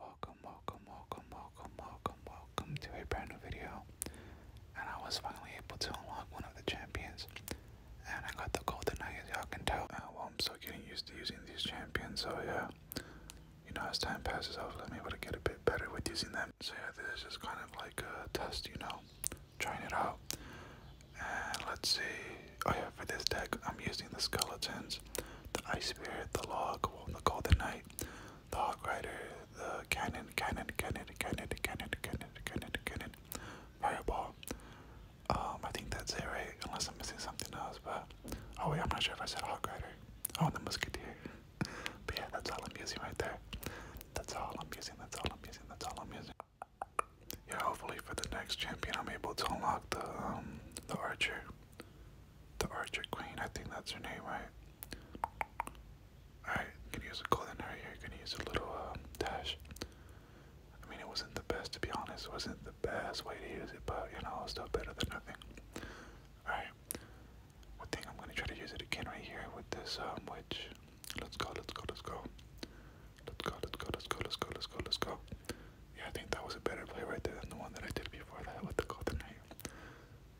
Welcome, welcome, welcome, welcome, welcome, welcome to a brand new video. And I was finally able to unlock one of the champions. And I got the golden eye as y'all can tell. Uh, well, I'm still getting used to using these champions, so yeah. You know, as time passes, I'll let able to get a bit better with using them. So yeah, this is kind of like a test, you know, trying it out. And let's see. Oh yeah, for this deck, I'm using the skeletons. Swords, the Ice Spirit, the Log, well, the Golden Knight, the Hawk Rider, the Cannon, Cannon, Cannon, Cannon, Cannon, Cannon, Cannon, Cannon, Fireball. Um, I think that's it, right? Unless I'm missing something else, but oh wait, I'm not sure if I said Hawk Rider. Oh, the Musketeer. But yeah, that's all I'm using right there. That's all I'm using. That's all I'm using. That's all I'm using. Yeah, hopefully for the next champion, I'm able to unlock the um, the Archer. The Archer Queen, I think that's her name, right? Alright, going use a golden right here, going use a little um, dash. I mean, it wasn't the best to be honest, wasn't the best way to use it, but you know, it's still better than nothing. Alright, I think I'm gonna try to use it again right here with this um, witch. let's go, let's go. Let's go, let's go, let's go, let's go, let's go, let's go. Let's go. Yeah, I think that was a better play right there than the one that I did before that with the golden knight.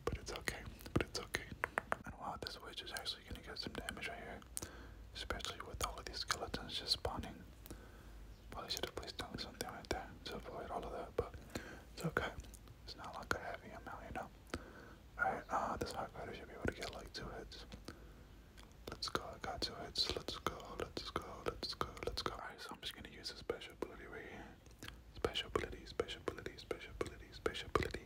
But it's okay. But it's okay. And wow, this witch is actually gonna get some damage right here. Especially with all of these skeletons just spawning. Probably should have placed down something right there to avoid all of that, but it's okay. It's not like a heavy amount, you know. Alright, ah, this hard rider should be able to get like two hits. Let's go, I got your heads. Let's go, let's go, let's go, let's go. Alright, so I'm just gonna use a special ability right here. Special ability, special ability, special ability, special ability.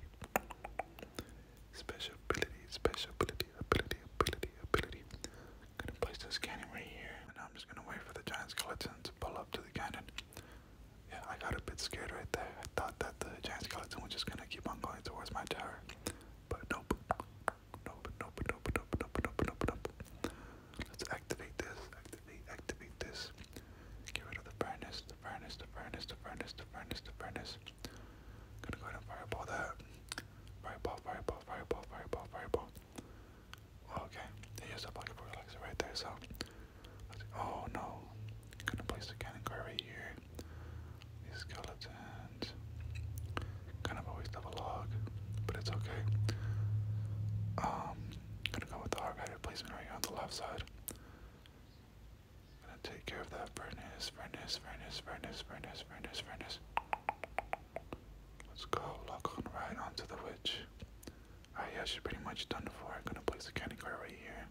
Special ability, special ability, ability, ability, ability. I'm gonna place this cannon right here. And I'm just gonna wait for the giant skeleton to pull up to the cannon. Yeah, I got a bit scared right there. I thought that the giant skeleton was just gonna keep on going towards my tower. But nope nope, nope, nope, nope, nope, nope, nope, nope. Let's activate this, activate, activate this. Get rid of the furnace, the furnace, the furnace, the furnace, the furnace, the furnace. Gonna go ahead and fireball that. Fireball, fireball, fireball, fireball, fireball. Okay, here's the pocket for relaxer right there, so. oh no. Gonna place the cannon right here. The skeleton friends. Kind of a waste of a log, but it's okay. Um, gonna go with the hard guy replacement right here on the left side. Gonna take care of that furnace, furnace, furnace, furnace, furnace, furnace, furnace. Let's go, lock on right onto the witch. Alright, yeah, she's pretty much done for. I'm gonna place the candy card right here.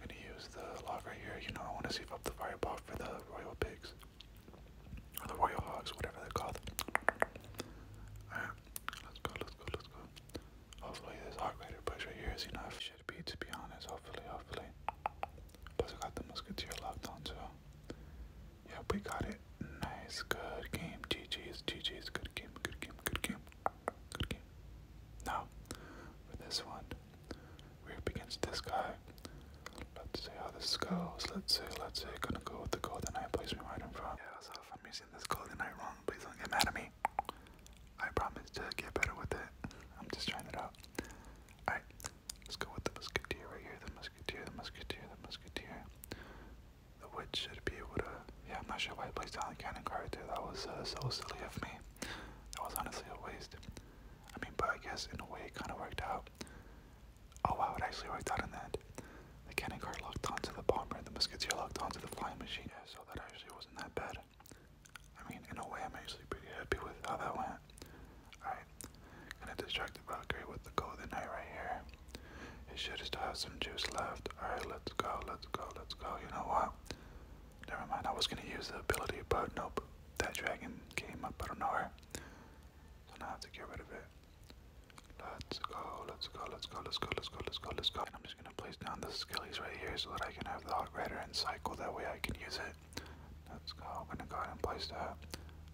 Gonna use the log right here. You know, I wanna save up the fireball for the royal pigs the Royal Hogs, whatever they're called. let's go, let's go, let's go. Hopefully this hog rider push right here is enough. Should be to be honest, hopefully, hopefully. Plus I got the musketeer locked on too. Yep, we got it. Nice, good game. GG's, GG's, good game, good game, good game, good game. Now, for this one, we're this guy. Let's see how this goes. Let's see, let's see. Gonna go with the Golden Knight. Place me right in front. Yeah, so if I'm using this Golden Knight wrong, please don't get mad at me. I promise to get better with it. I'm just trying it out. Alright, let's go with the Musketeer right here. The Musketeer, the Musketeer, the Musketeer. The Witch should be able to. Yeah, I'm not sure why I placed down the cannon card right there. That was uh, so silly of me. That was honestly a waste. I mean, but I guess in a way it kind of worked out. Oh wow, it actually worked out in that. The cannon car locked onto the bomber and the musketeer locked onto the flying machine. so that actually wasn't that bad. I mean, in a way, I'm actually pretty happy with how that went. Alright, gonna distract the Valkyrie with the Golden Knight right here. It should still have some juice left. Alright, let's go, let's go, let's go. You know what? Never mind, I was gonna use the ability, but nope. That dragon came up out of nowhere. So now I have to get rid of it. Let's go, let's go, let's go, let's go, let's go, let's go, let's go. I'm just gonna place down the skillies right here so that I can have the hot rider and cycle, that way I can use it. Let's go, I'm gonna go ahead and place that.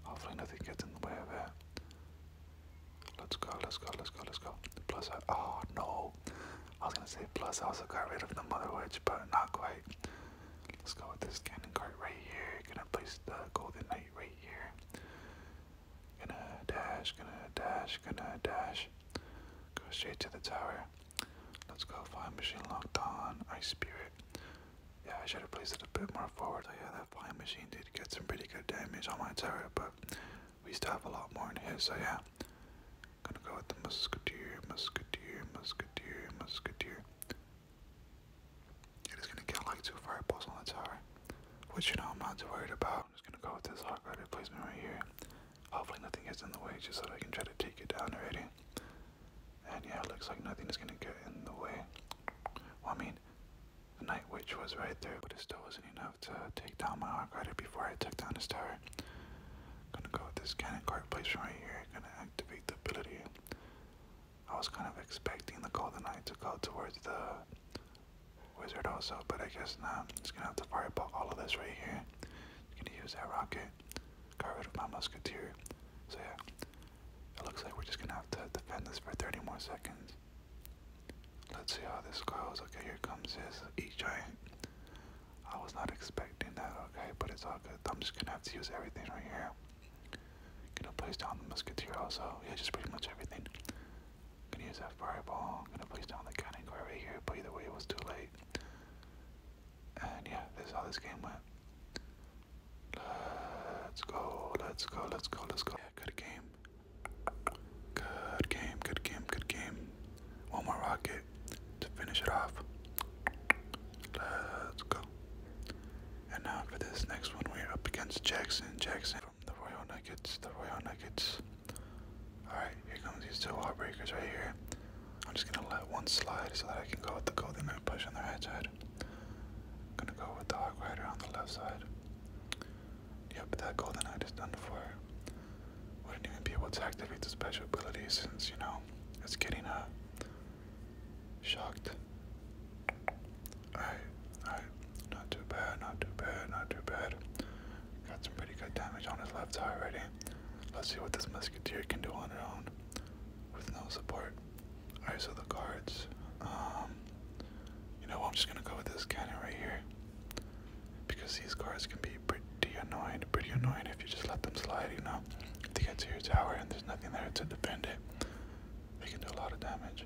Hopefully nothing gets in the way of it. Let's go, let's go, let's go, let's go. Plus I, oh no. I was gonna say plus I also got rid of the mother witch, but not quite. Let's go with this cannon cart right here. Gonna place the golden knight right here. Gonna dash, gonna dash, gonna dash. Go straight to the tower. Let's go flying machine locked on. Ice spirit. Yeah, I should have placed it a bit more forward. yeah, that flying machine did get some pretty good damage on my tower, but we still have a lot more in here, so yeah. Gonna go with the musketeer, musketeer, musketeer, musketeer. It is gonna kill like two fireballs on the tower, which you know I'm not too worried about. I'm just gonna go with this hawk rider placement right here. Hopefully nothing gets in the way, just so I can try to take it down already. And yeah, looks like nothing is gonna get in the way. Well, I mean, the night witch was right there, but it still wasn't enough to take down my hawk rider before I took down his tower. Gonna go with this cannon card placement right here. Gonna activate the ability. I was kind of expecting the Golden Knight to go towards the Wizard also, but I guess not. Just gonna have to fireball all of this right here. It's gonna use that rocket. Got rid of my musketeer. So yeah, it looks like we're just gonna have to defend this for 30 more seconds. Let's see how this goes. Okay, here comes this E giant. I was not expecting that, okay, but it's all good. I'm just gonna have to use everything right here. Gonna place down the musketeer also. Yeah, just pretty much everything. Gonna use that fireball. Gonna place down the cannon guard right here, but either way, it was too late. And yeah, this is how this game went. Let's go, let's go, let's go, let's go. Yeah, good game. Good game, good game, good game. One more rocket to finish it off. Let's go. And now for this next one, we're up against Jackson. Jackson from the Royal Nuggets. The Royal Nuggets. Alright, here comes these two wall breakers right here. I'm just gonna let one slide so that I can go with the Golden Knight push on the right side. I'm gonna go with the Hawk Rider on the left side. Yep, that golden eye is done for. Wouldn't even be able to activate the special abilities since, you know, it's getting uh shocked. Alright, alright. Not too bad, not too bad, not too bad. Got some pretty good damage on his left eye already. Let's see what this musketeer can do on her own with no support. Alright, so the cards. Um, you know, I'm just gonna go with this cannon right here because these cars can be pretty annoying, pretty annoying if you just let them slide, you know. If they get to your tower and there's nothing there to defend it, they can do a lot of damage.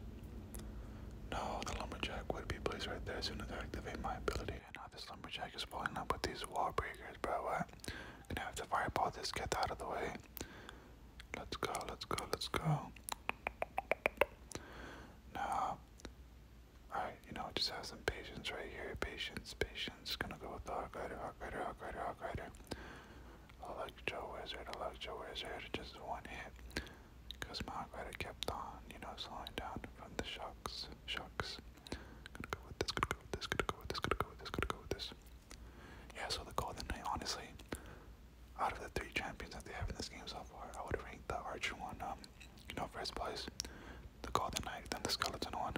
No, the lumberjack would be placed right there as soon as I activate my ability. now this lumberjack is pulling up with these wall breakers, bro. What? Gonna have to fireball this, get out of the way. Let's go, let's go, let's go. Now, Alright, you know, just have some patience right here. Patience, patience. Gonna go with the Hawk Rider, Hawk Rider, Hawk Rider, Hawk Rider. Electro Wizard, Electro Wizard. Just one hit. Because my Hawk Rider kept on, you know, slowing down from the shocks. Shocks. Gonna go with this, gonna go with this, gonna go with this, gonna go with this, gonna go with this. Yeah, so the Golden Knight, honestly, out of the three champions that they have in this game so far, I would rank the Archer one, um, you know, first place, the Golden Knight, then the Skeleton one.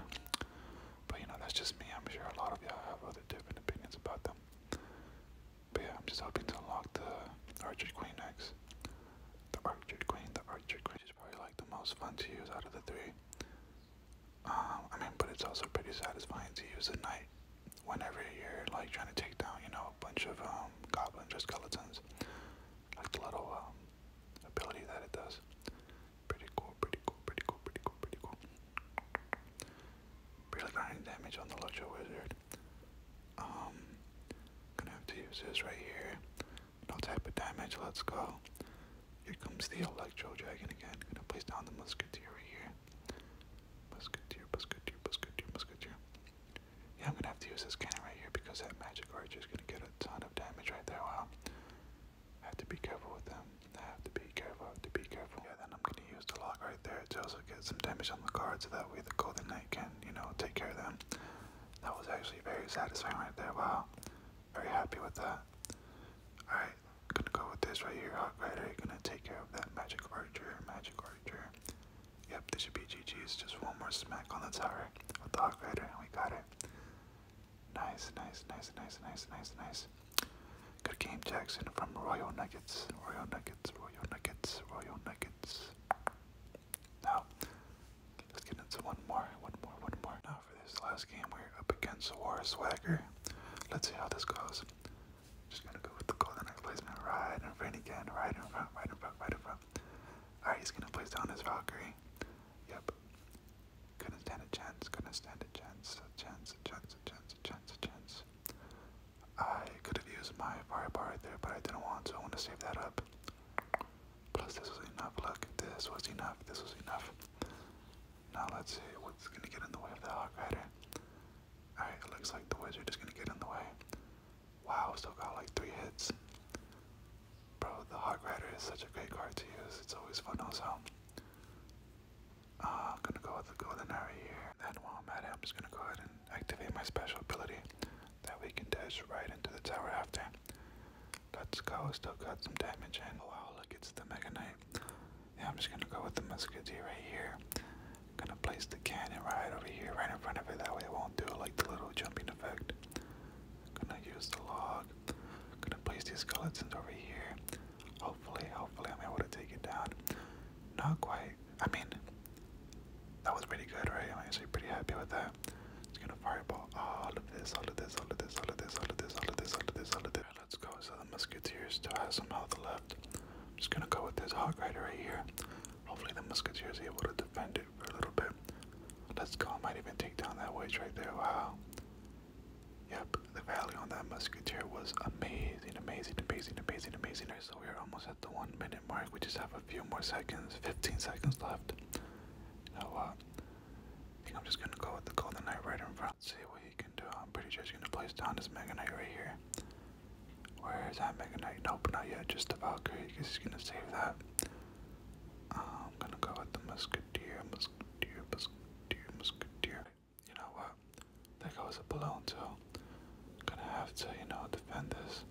But you know, that's just me. I'm sure a lot of y'all have other different opinions about them. But yeah, I'm just hoping to unlock the Archer Queen next. The Archer Queen, the Archer Queen is probably like the most fun to use out of the three. Um, I mean, but it's also pretty satisfying to use a knight whenever you're like trying to take down, you know, know, a bunch of um, goblins or skeletons. Like the little um, ability that it does. Pretty cool, pretty cool, pretty cool, pretty cool, pretty cool. Really grinding damage on the Luxury Wizard. Um, gonna have to use this right here. No type of damage, let's go. Here comes the Electro Dragon again. Gonna place down the Musketeer right here. Musketeer, Musketeer, Musketeer, Musketeer. Yeah, I'm gonna have to use this cannon right here because that magic archer is gonna get a ton of damage right there. Wow. I have to be careful with them. I have to be careful, I have to be careful. Yeah, then I'm gonna use the lock right there to also get some damage on the card so that way the golden knight can, you know, take care of them. That was actually very satisfying right there. Wow. Very happy with that. Alright, gonna go with this right here, All right, are you Gonna take care of that magic archer, magic archer. Yep, this should be GG's. Just one more smack on the tower with the Hawk Rider, and we got it. Nice, nice, nice, nice, nice, nice, nice. Good game, Jackson, from Royal Nuggets. Royal Nuggets, Royal Nuggets, Royal Nuggets. Now, let's get into one more, one more, one more. Now, for this last game, we're up against War Swagger. Let's see how this goes. Just gonna go with the goal, then I place my again, right in front, right in front, right in front. Alright, he's gonna place down his Valkyrie. Yep. Couldn't stand a chance, couldn't stand a chance, chance, chance, chance, chance, chance. I could have used my firepower right there, but I didn't want to. I want to save that up. Plus, this was enough. Look, this was enough. This was enough. Now, let's see what's going to get in the way of the Hawk Rider. Alright, it looks like the wizard is gonna get in the way. Wow, still got like three hits. Bro, the Hog Rider is such a great card to use. It's always fun also. Uh, I'm gonna go with the Golden Arrow here. And then while I'm at it, I'm just gonna go ahead and activate my special ability that we can dash right into the tower after. Let's go, still got some damage and Oh wow, look, it's the Mega Knight. Yeah, I'm just gonna go with the musketeer right here. I'm gonna place the cannon right over here, right in front of it. That way it won't do like the little jumping effect. I'm gonna use the log. I'm gonna place these skeletons over here. Hopefully, hopefully I'm able to take it down. Not quite. I mean, that was pretty good, right? I'm actually pretty happy with that. Just gonna fireball all of this, all of this, all of this, all of this, all of this, all of this, all of this, all of this. Let's go. So the musketeers still has some health left. I'm just gonna go with this Hawk Rider right here. Hopefully the musketeers is able to defend it for a little bit. Let's go. I might even take down that witch right there. Wow. Yep, the value on that musketeer was amazing, amazing, amazing, amazing, amazing. so we are almost at the one minute mark. We just have a few more seconds, 15 seconds left. You I'm just gonna go with the golden knight right in front. See he can do it. I'm pretty sure he's gonna place down his Mega Knight right here. Where is that Mega Knight? Nope, not yet. Just the Valkyrie. I guess he's gonna save that. Uh, I'm gonna go with the Musketeer, Musketeer, Musketeer, Musketeer. You know what? There goes a balloon too. Gonna have to, you know, defend this.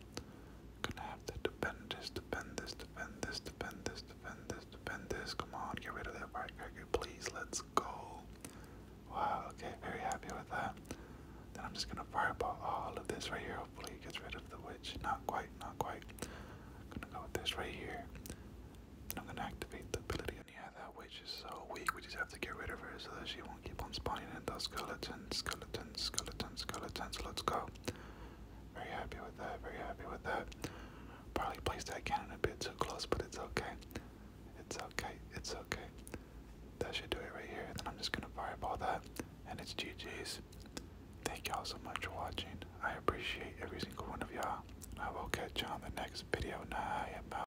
Gonna have to defend this, defend this, defend this, defend this, defend this, defend this. Come on, get rid of that right cracker, please. Let's go. Wow, okay, very happy with that. Then I'm just gonna fireball all of this right here. Hopefully it gets rid of the witch. Not quite, not quite. I'm gonna go with this right here. I'm gonna activate the ability. And yeah, that witch is so weak. We just have to get rid of her so that she won't keep on spawning and those skeletons, skeletons, skeletons, skeletons. Let's go. Very happy with that, very happy with that. Probably placed that cannon a bit too close, but it's okay. It's okay. It's okay. That should do it right here. Then I'm just gonna fire up all that, and it's GG's. Thank y'all so much for watching. I appreciate every single one of y'all. I will catch you all on the next video. Nah,